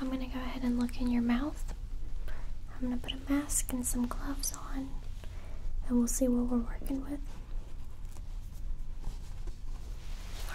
I'm gonna go ahead and look in your mouth. I'm gonna put a mask and some gloves on, and we'll see what we're working with. All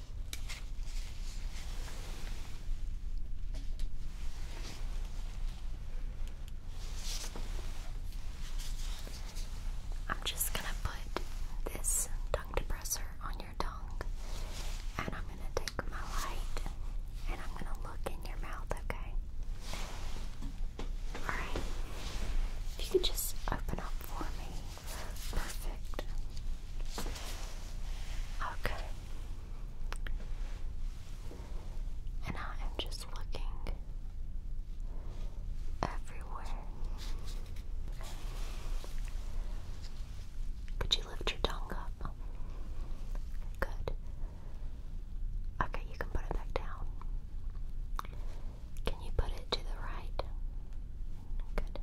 I'm just going to put this tongue depressor on your tongue, and I'm going to take my light and I'm going to look in your mouth, okay? Alright. If you could just open up for me Perfect. Okay. And I am just looking everywhere. Could you lift your tongue up? Good. Okay, you can put it back down. Can you put it to the right? Good.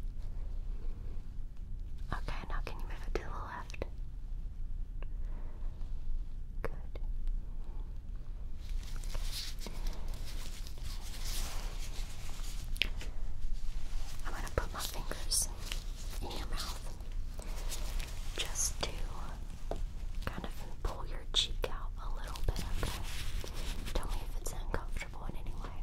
Okay, now can you move it to the left? Good. I'm going to put my fingers in your mouth just to kind of pull your cheek out a little bit, okay? Tell me if it's uncomfortable comfortable in Good.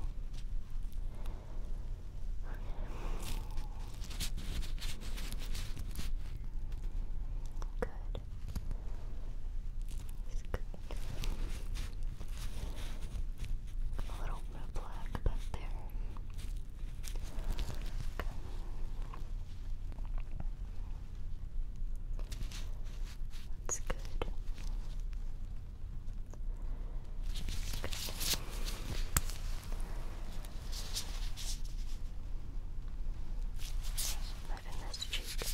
A little bit of black there. That's good. Moving this cheek. Okay.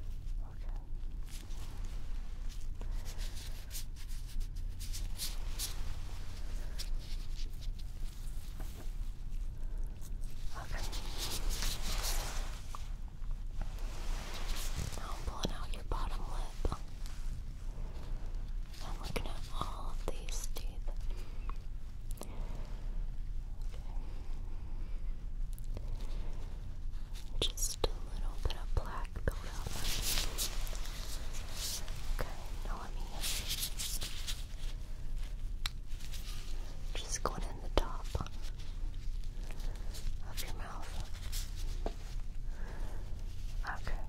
okay. Okay. Now pulling out your bottom lip. I'm looking at all of these teeth. Okay. Just a little bit of black buildup. Okay, now let me just go in on the top of your mouth. Okay.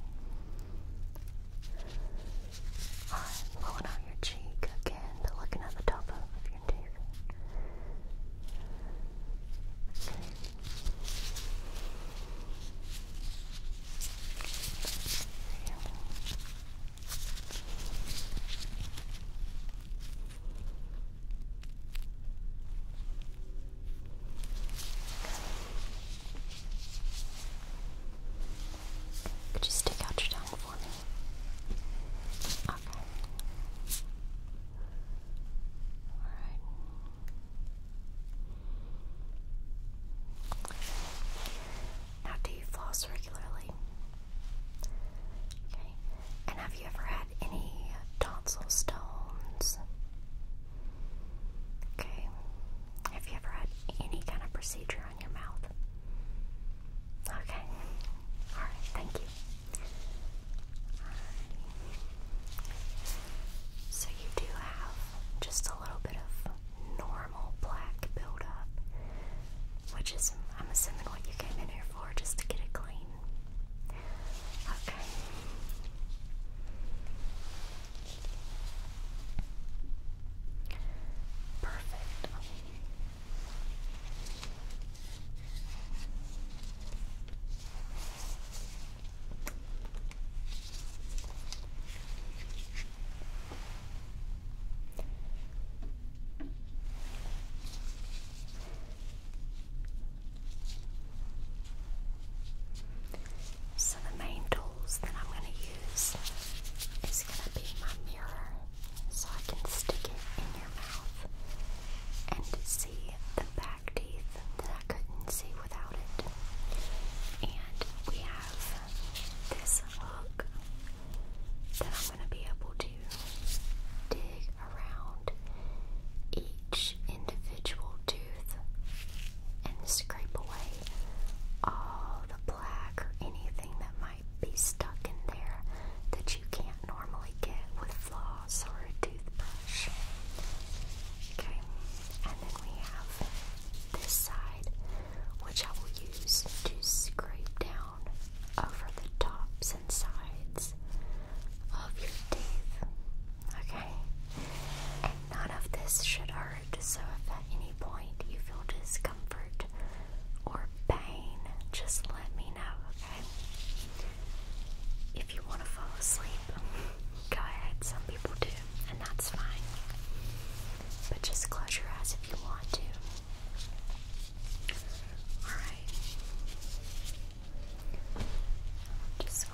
pulling out your cheek again, looking at the top of your teeth. Okay. Could you stick out your tongue for me? Okay. All right. Now, do you floss regularly? Okay. And have you ever had any tonsil stones? Okay. Have you ever had any kind of procedure on your mouth? Okay. Alright, thank you. So you do have just a little bit of normal black buildup, which is, I'm assuming, what you came in here for just to get it clean. Okay. Perfect. So the main tools that I'm going to use is going to be my mirror so I can stick it in your mouth and see the back teeth that I couldn't see without it. And we have this hook going to be able to dig around each individual tooth and scrape away all the plaque or anything that might be stuck in there that you can't normally get with floss or a toothbrush. Okay, and then we have this side, which I will use to scrape down over the tops and sides of your teeth. Okay? And none of this should hurt, so if at any point you feel discomfort or pain, just let me know, okay? If you want to fall asleep, go ahead. Some people do, and that's fine. But just close your eyes if you want to. All right. I'm just going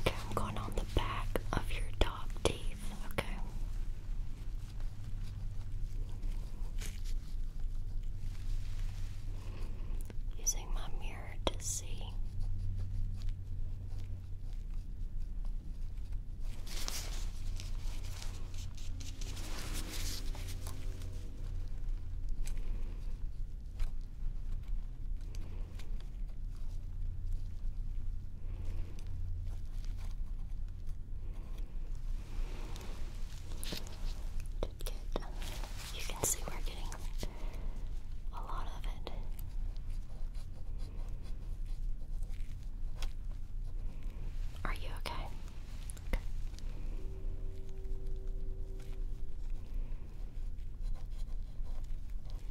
Okay, I'm going on the back of your top teeth, okay? Using my mirror to see. You can see we're getting a lot of it. Are you okay.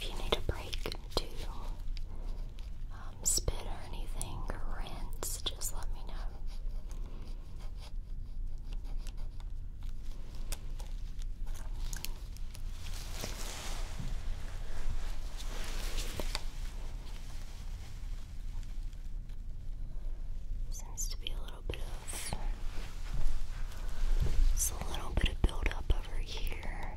If you need a break to um, spit or anything or rinse, just let me know. Seems to be a little bit of it's a little bit of buildup over here.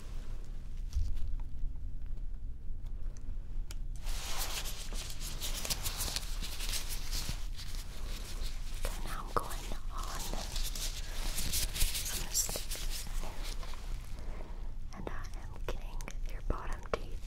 Okay, now I'm going on some stickers, and I am getting your bottom teeth.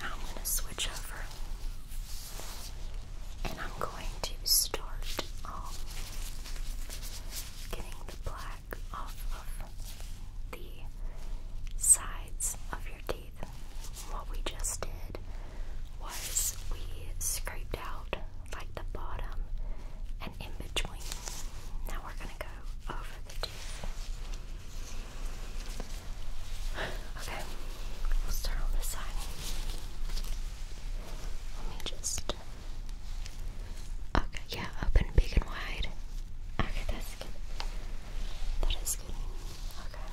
Now I'm going to switch over and I'm going to start um, getting the black off of the sides of your teeth. What we just did was we scraped out like the bottom in between. Now we're going to go over the teeth. Okay, we'll start on this side. Let me just. Okay, yeah, open big and wide. Okay, that's good. That is good. Okay.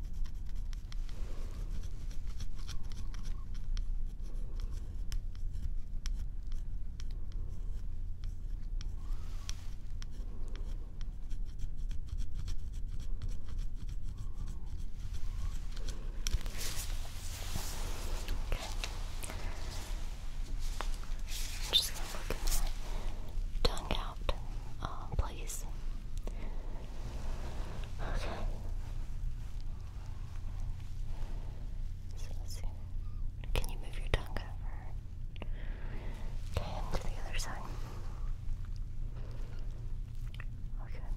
Okay. i just gonna look out, uh, please. Okay. So let's see. Can you move your tongue over? Okay, to the other side. Okay.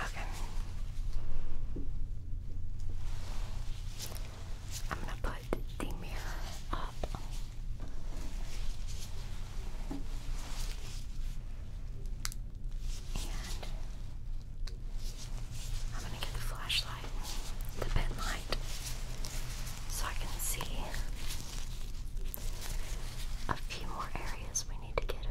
Okay. I'm gonna put the mirror up I'm going to get the flashlight, the pen light, so I can see a few more areas we need to get, okay?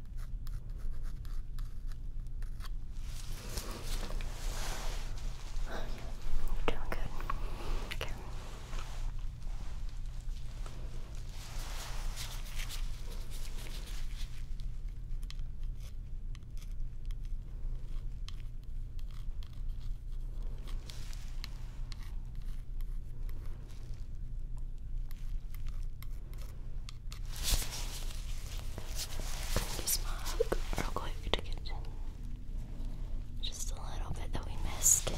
you doing good. Okay. Just mug real quick to get just a little bit that we missed.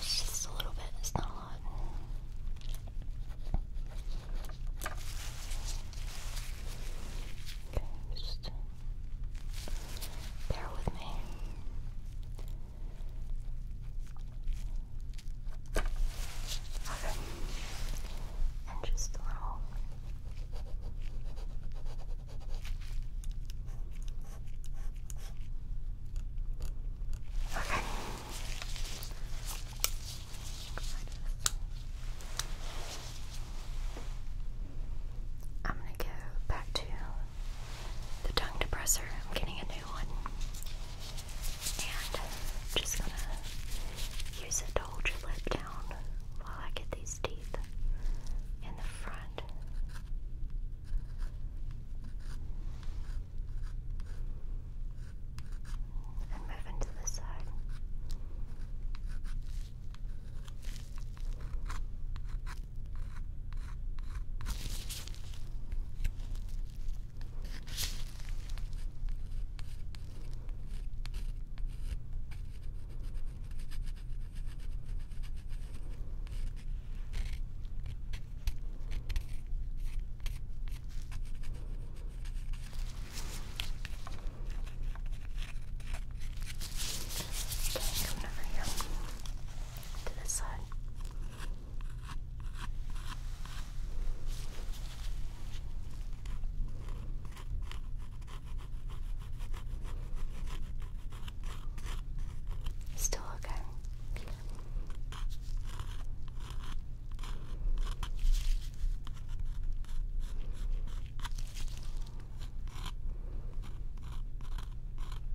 It's just a little bit, it's not a lot. Okay, just bear with me. Okay. And just a little Okay. I'm gonna go back to the tongue depressor. I'm getting a new and just gonna use it to hold your lip down while I get these teeth in the front. And move into the side. Okay, coming over here to this side. Still okay.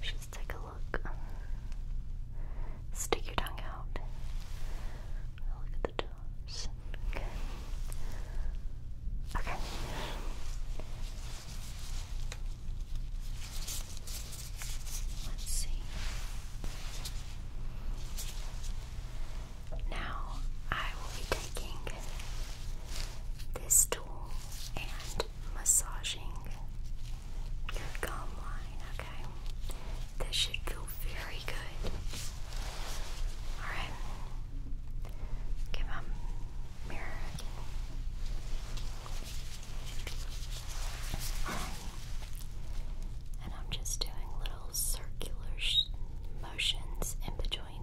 Let's take a look. Stick your tongue out. Look at the toes. Okay. Okay. Let's see. Now I will be taking this tool and massaging your gum line, okay? This should feel very good. Alright. Give him a mirror again. And I'm just doing little circular motions in between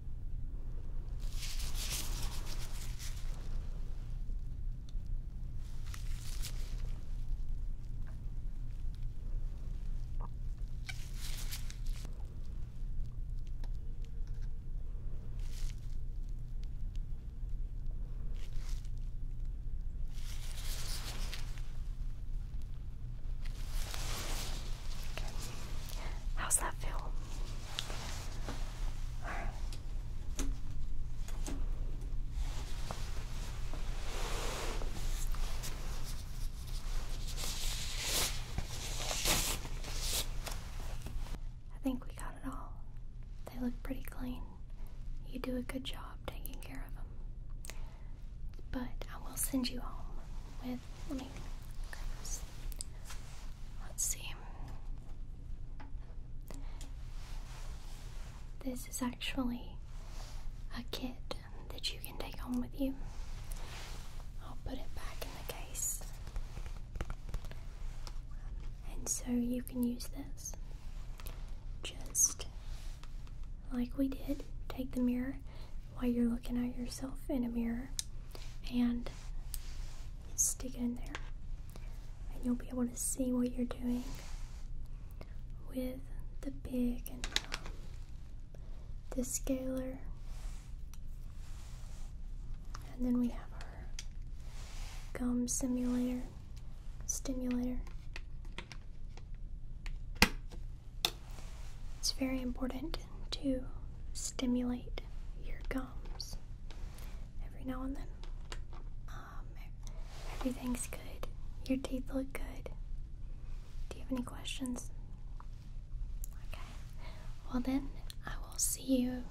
How's that feel? I think we got it all. They look pretty clean. You do a good job taking care of them. But I will send you home with. Let me Let's see. This is actually a kit that you can take home with you. I'll put it back in the case. And so you can use this. Just like we did, take the mirror while you're looking at yourself in a mirror and stick it in there and you'll be able to see what you're doing with the big and um, the scaler and then we have our gum simulator stimulator it's very important to stimulate your gums every now and then. Um, everything's good. Your teeth look good. Do you have any questions? Okay. Well, then, I will see you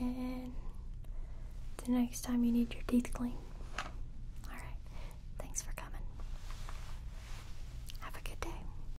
and the next time you need your teeth cleaned. Alright, thanks for coming. Have a good day.